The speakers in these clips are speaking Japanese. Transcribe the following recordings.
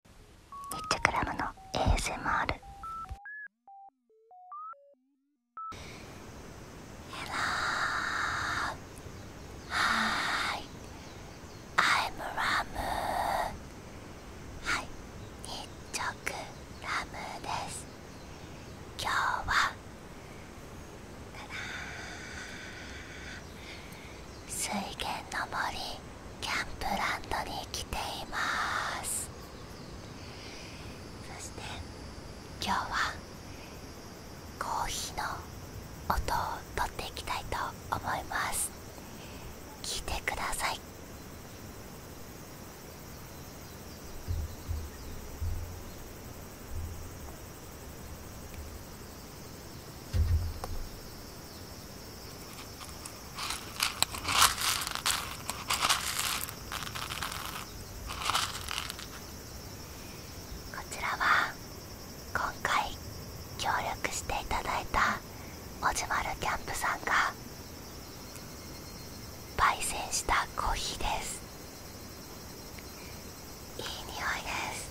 日直チェクラムの ASMR ヘラーはい。アイムラムはい日直ラムです今日はただー水源の森キャンプランドに来ていますそして今日はコーヒーの音をとっていきたいと思います聞いてくださいこちらは今回協力していただいたおじまるキャンプさんが焙煎したコーヒーですいい匂いです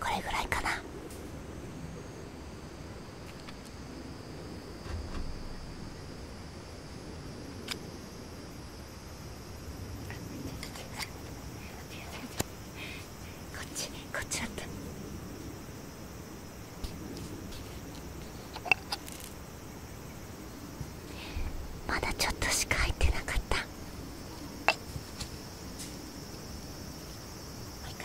これぐらいかなここっっっち、ちだた。まだちょっとしか入ってなかったもう一回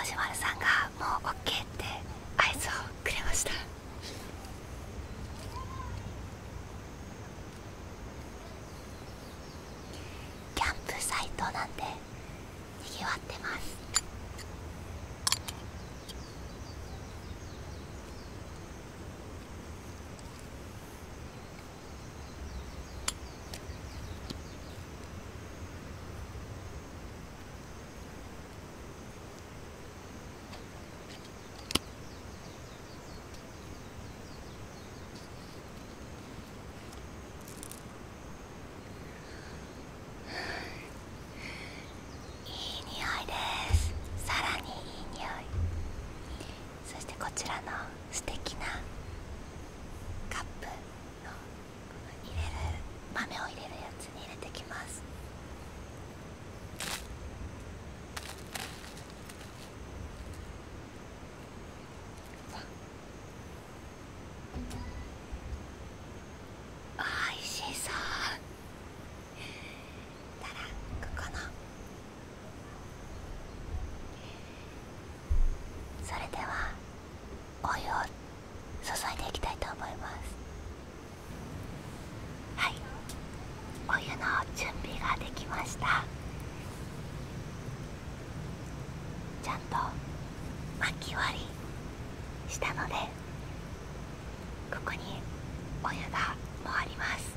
おじまるさんがもう OK って合図をくれました。キャンプサイトなんでにぎわってますいい匂いですさらにいい匂いそしてこちらの素敵なカップの入れる豆を入れるやつに入れてきますおいしそうたらここそれではお湯を注いでいきたいと思いますはいお湯の準備ができましたちゃんと巻き割りしたのでここにお湯が回ります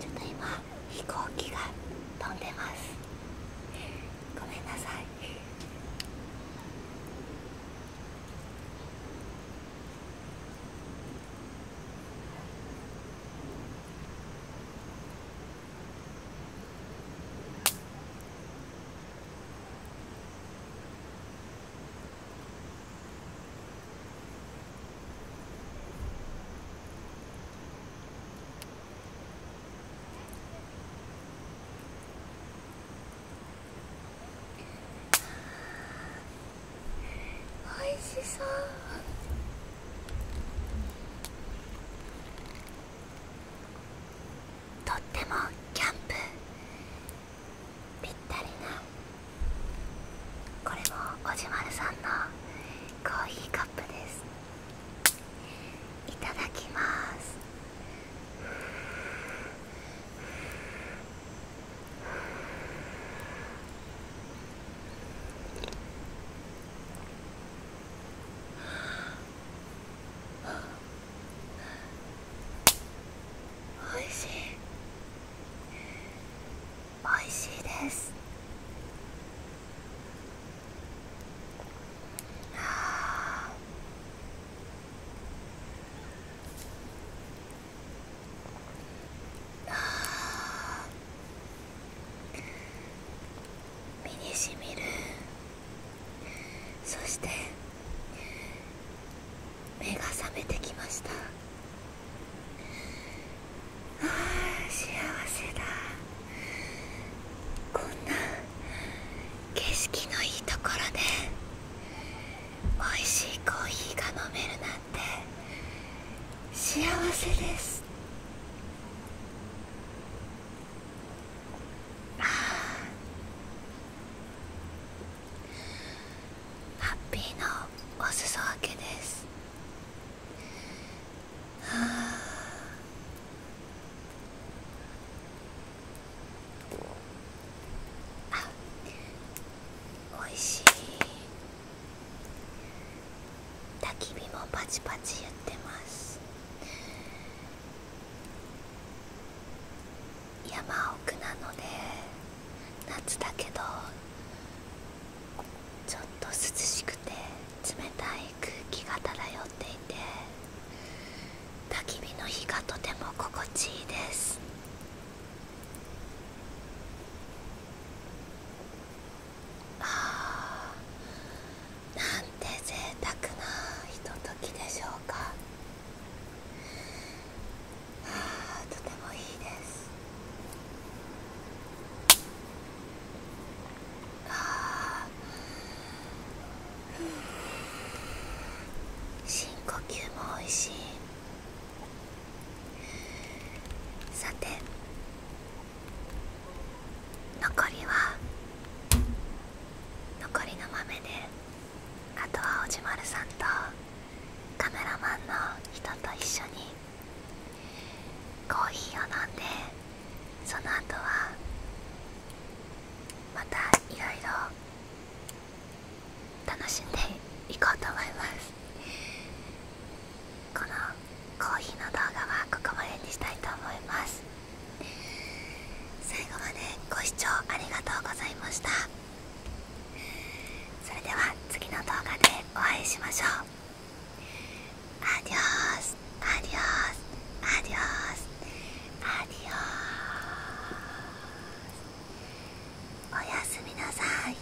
ちょっと今飛行機が飛んでますごめんなさいとってもキャンプぴったりなこれもおじまさんのコーヒーカップですいただきますおいしいおいしいですああ身にしみるそして目が覚めてきましたあ幸せだこんな景色のいいところで美味しいコーヒーが飲めるなんて幸せですあハッピーのおすそ分けですあおいしい焚き火もパチパチ言ってます山奥なので夏だけどちょっと涼しくて冷たい空気が漂っていて焚き火の火がとても心地いいですああなんて贅沢なひとときでしょうかあとてもいいですあ深呼吸もおいしいさて残りは残りの豆であとはおじまるさんとカメラマンの人と一緒にコーヒーを飲んでその後はまたいろいろ楽しんでいこうと思いますこのコーヒーの動画はここまでにしたいと思います最後までご視聴ありがとうございましたそれでは次の動画でお会いしましょうアディオスアディオスアディオスアディオスおやすみなさい